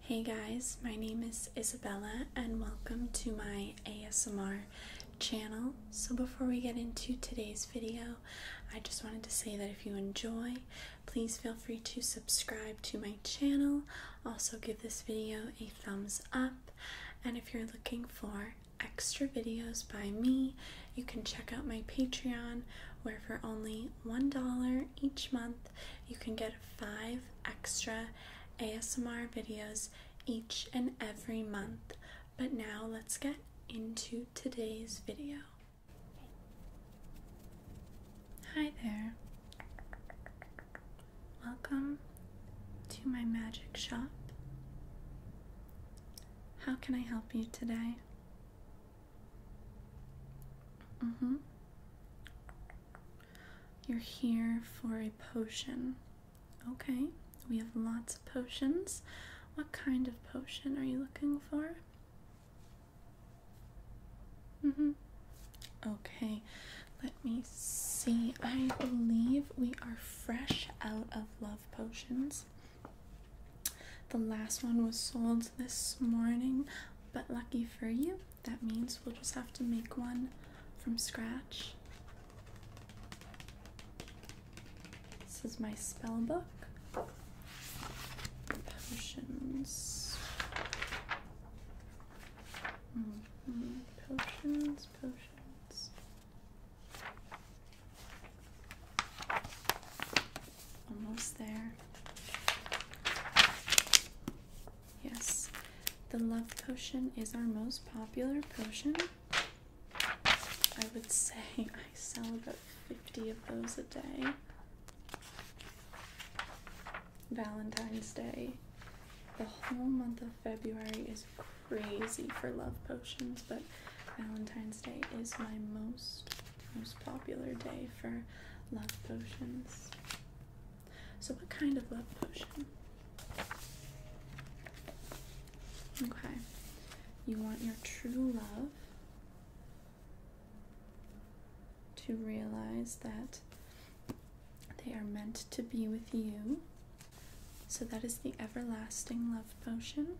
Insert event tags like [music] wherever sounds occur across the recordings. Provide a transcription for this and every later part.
Hey guys, my name is Isabella and welcome to my ASMR channel. So before we get into today's video, I just wanted to say that if you enjoy, please feel free to subscribe to my channel. Also give this video a thumbs up. And if you're looking for extra videos by me, you can check out my Patreon where for only $1 each month, you can get five extra ASMR videos each and every month. But now let's get into today's video. Hi there. Welcome to my magic shop. How can I help you today? Mm hmm. You're here for a potion. Okay, we have lots of potions. What kind of potion are you looking for? Mm hmm. Okay, let me see. I believe we are fresh out of love potions. The last one was sold this morning, but lucky for you, that means we'll just have to make one from scratch. This is my spell book. Potions. Mm-hmm. Potions, potions. Almost there. Yes, the love potion is our most popular potion. I would say [laughs] I sell about 50 of those a day. Valentine's Day. The whole month of February is crazy for love potions, but Valentine's Day is my most most popular day for love potions. So, what kind of love potion? Okay, you want your true love to realize that they are meant to be with you. So, that is the everlasting love potion.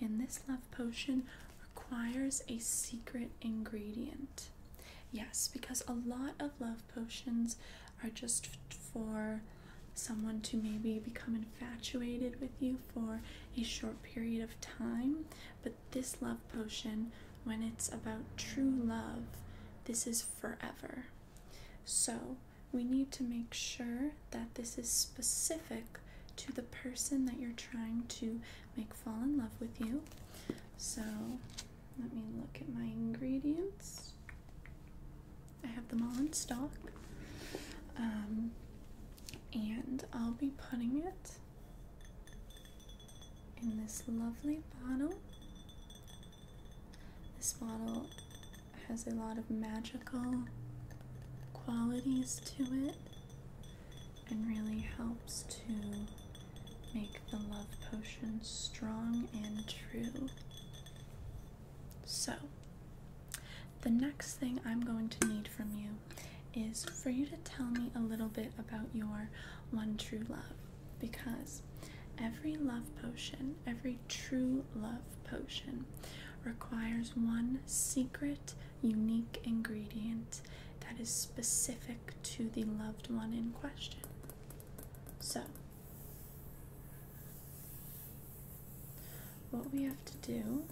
And this love potion requires a secret ingredient. Yes, because a lot of love potions are just for someone to maybe become infatuated with you for a short period of time. But this love potion, when it's about true love, this is forever. So we need to make sure that this is specific to the person that you're trying to make fall in love with you. So let me look at my ingredients. I have them all in stock. Um, and I'll be putting it in this lovely bottle. This bottle has a lot of magical qualities to it and really helps to make the love potion strong and true. So, the next thing I'm going to need from you is for you to tell me a little bit about your one true love because every love potion, every true love potion, requires one secret, unique ingredient that is specific to the loved one in question. So, what we have to do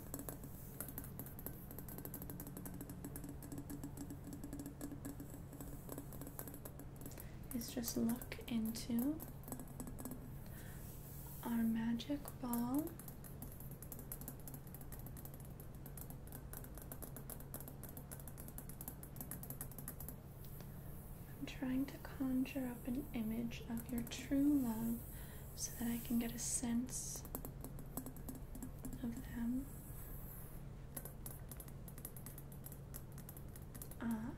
is just look into our magic ball. I'm trying to conjure up an image of your true love so that I can get a sense of them. Ah,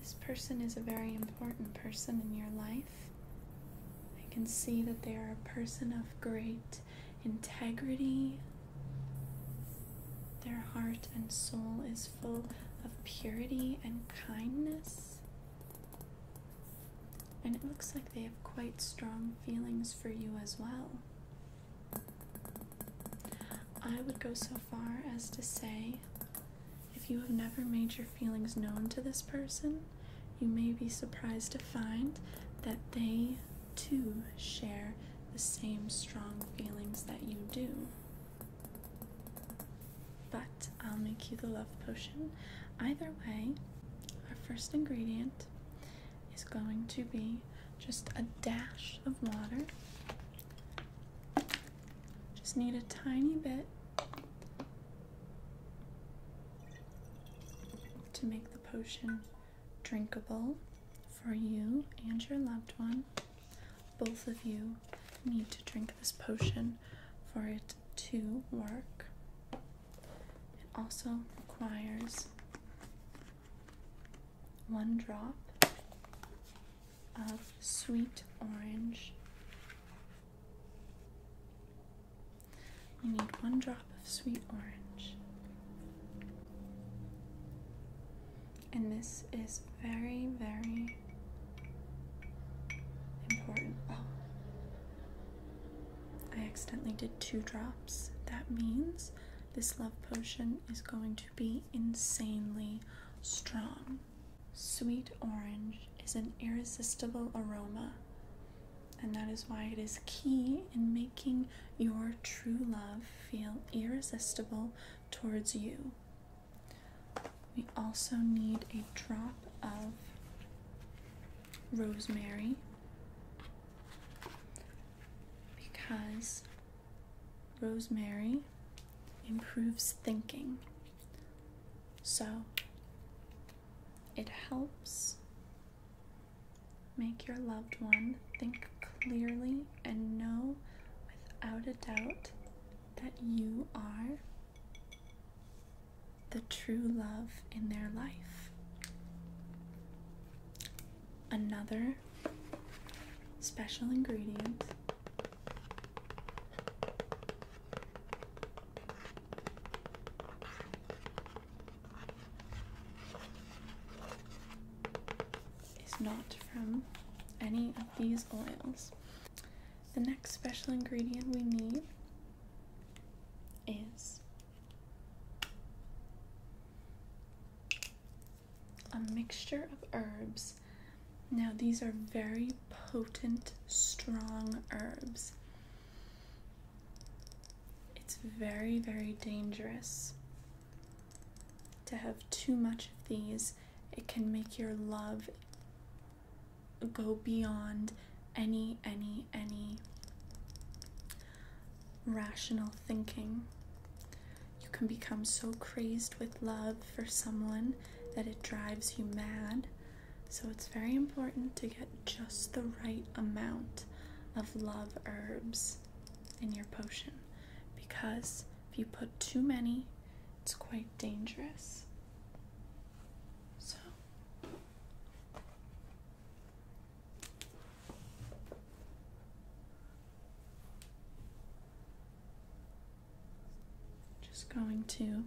this person is a very important person in your life. I can see that they are a person of great integrity. Their heart and soul is full of purity and kindness. And it looks like they have quite strong feelings for you as well. I would go so far as to say if you have never made your feelings known to this person, you may be surprised to find that they too share the same strong feelings that you do. But I'll make you the love potion. Either way, our first ingredient is going to be just a dash of water just need a tiny bit to make the potion drinkable for you and your loved one. Both of you need to drink this potion for it to work. It also requires one drop of sweet orange. You need one drop of sweet orange. And this is very, very important. Oh. I accidentally did two drops. That means this love potion is going to be insanely strong. Sweet orange is an irresistible aroma, and that is why it is key in making your true love feel irresistible towards you. We also need a drop of rosemary because Rosemary improves thinking. So it helps make your loved one think clearly and know without a doubt that you are the true love in their life another special ingredient. Is not from any of these oils. The next special ingredient we need is a mixture of herbs. Now, these are very potent, strong herbs. It's very, very dangerous to have too much of these. It can make your love go beyond any, any, any rational thinking. You can become so crazed with love for someone that it drives you mad. So it's very important to get just the right amount of love herbs in your potion because if you put too many, it's quite dangerous. So just going to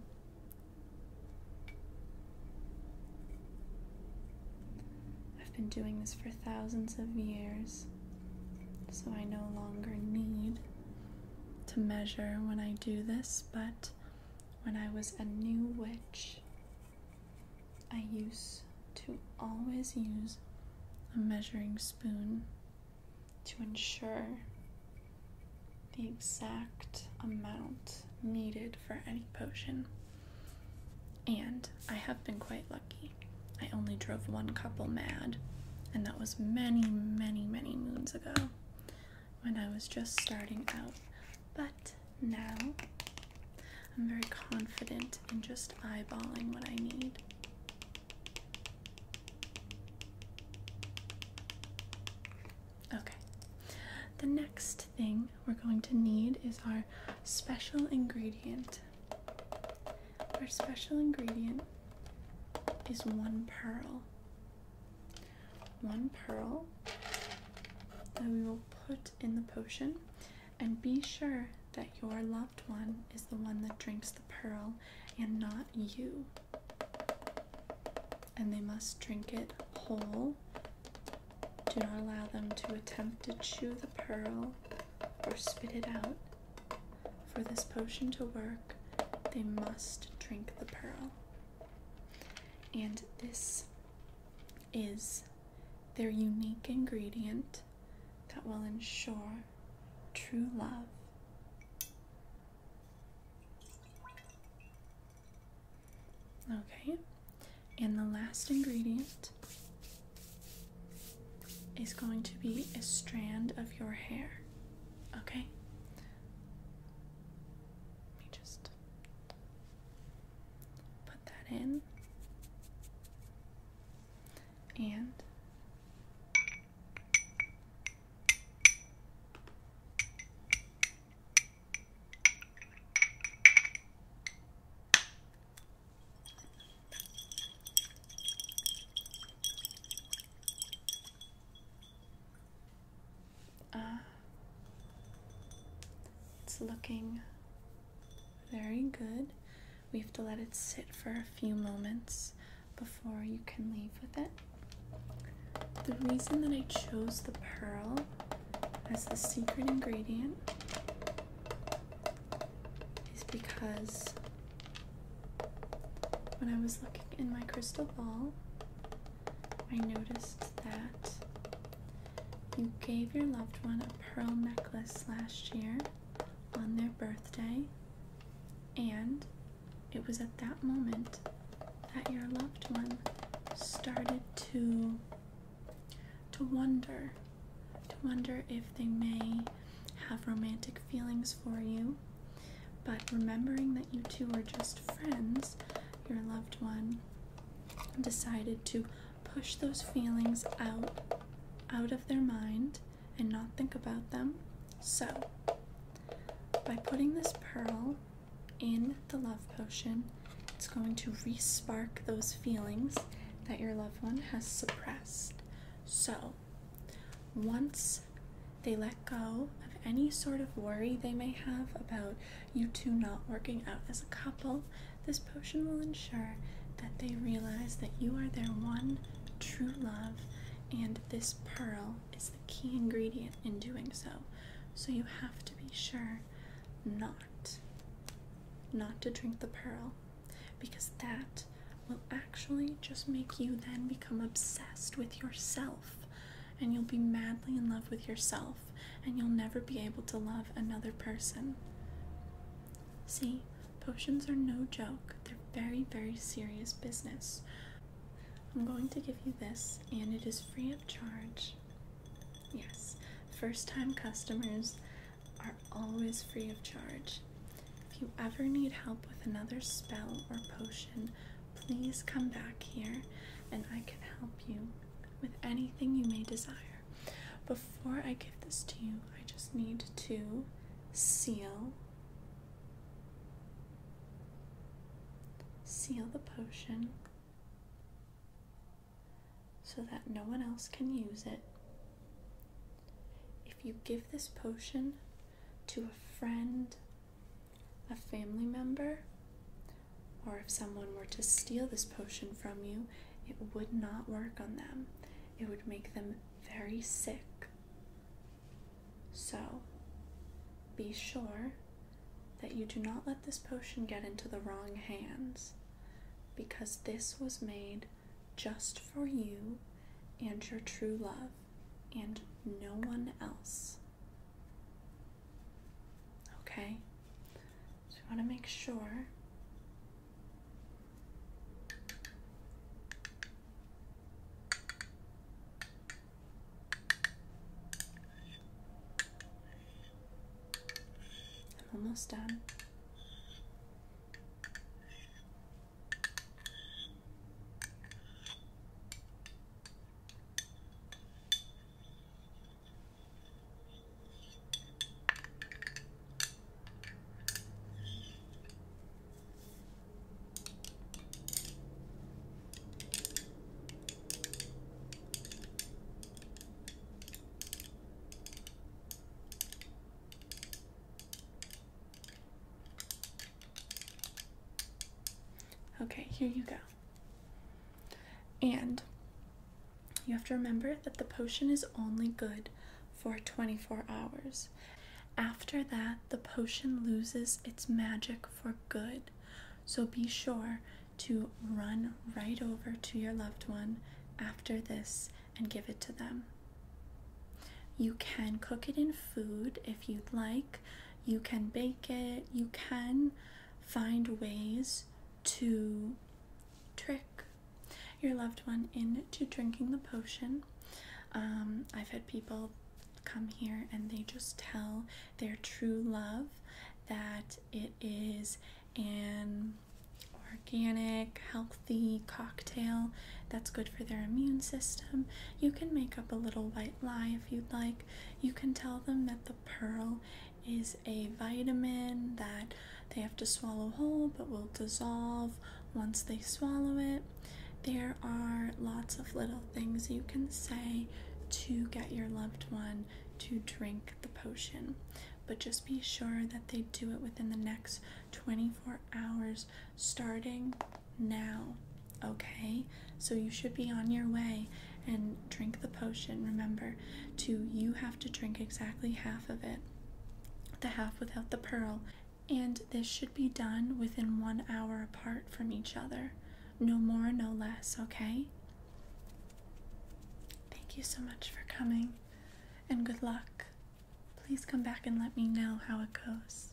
I've been doing this for thousands of years, so I no longer need to measure when I do this, but when I was a new witch, I used to always use a measuring spoon to ensure the exact amount needed for any potion. And I have been quite lucky. I only drove one couple mad, and that was many, many, many moons ago when I was just starting out. But now I'm very confident in just eyeballing what I need. Okay, the next thing we're going to need is our special ingredient. Our special ingredient is one pearl. One pearl that we will put in the potion and be sure that your loved one is the one that drinks the pearl and not you. And they must drink it whole. Do not allow them to attempt to chew the pearl or spit it out. For this potion to work, they must drink the pearl. And this is their unique ingredient that will ensure true love. Okay, and the last ingredient is going to be a strand of your hair. Okay? Let me just Put that in. And uh, it's looking very good. We have to let it sit for a few moments before you can leave with it. The reason that I chose the pearl as the secret ingredient is because when I was looking in my crystal ball, I noticed that you gave your loved one a pearl necklace last year on their birthday, and it was at that moment that your loved one started to to wonder to wonder if they may have romantic feelings for you but remembering that you two are just friends your loved one decided to push those feelings out out of their mind and not think about them. So, by putting this pearl in the love potion, it's going to respark those feelings that your loved one has suppressed. So, once they let go of any sort of worry they may have about you two not working out as a couple, this potion will ensure that they realize that you are their one true love, and this pearl is the key ingredient in doing so. So you have to be sure not not to drink the pearl because that will actually just make you then become obsessed with yourself and you'll be madly in love with yourself, and you'll never be able to love another person. See, potions are no joke, they're very, very serious business. I'm going to give you this, and it is free of charge. Yes, first time customers are always free of charge. If you ever need help with another spell or potion, please come back here and I can help you with anything you may desire. Before I give this to you, I just need to seal seal the potion so that no one else can use it. If you give this potion to a friend, a family member, or if someone were to steal this potion from you, it would not work on them. It would make them very sick. So, be sure that you do not let this potion get into the wrong hands because this was made just for you and your true love and no one else. Okay? So you want to make sure I'm almost done. Okay, here you go. And you have to remember that the potion is only good for 24 hours. After that, the potion loses its magic for good. So be sure to run right over to your loved one after this and give it to them. You can cook it in food if you'd like you can bake it, you can find ways to trick your loved one into drinking the potion. Um, I've had people come here and they just tell their true love that it is an organic, healthy cocktail that's good for their immune system. You can make up a little white lie if you'd like you can tell them that the pearl is a vitamin that they have to swallow whole but will dissolve once they swallow it. There are lots of little things you can say to get your loved one to drink the potion, but just be sure that they do it within the next 24 hours, starting now, okay? So you should be on your way and drink the potion. Remember, to you have to drink exactly half of it, the half without the pearl. And this should be done within one hour apart from each other. No more, no less, okay? Thank you so much for coming and good luck. Please come back and let me know how it goes.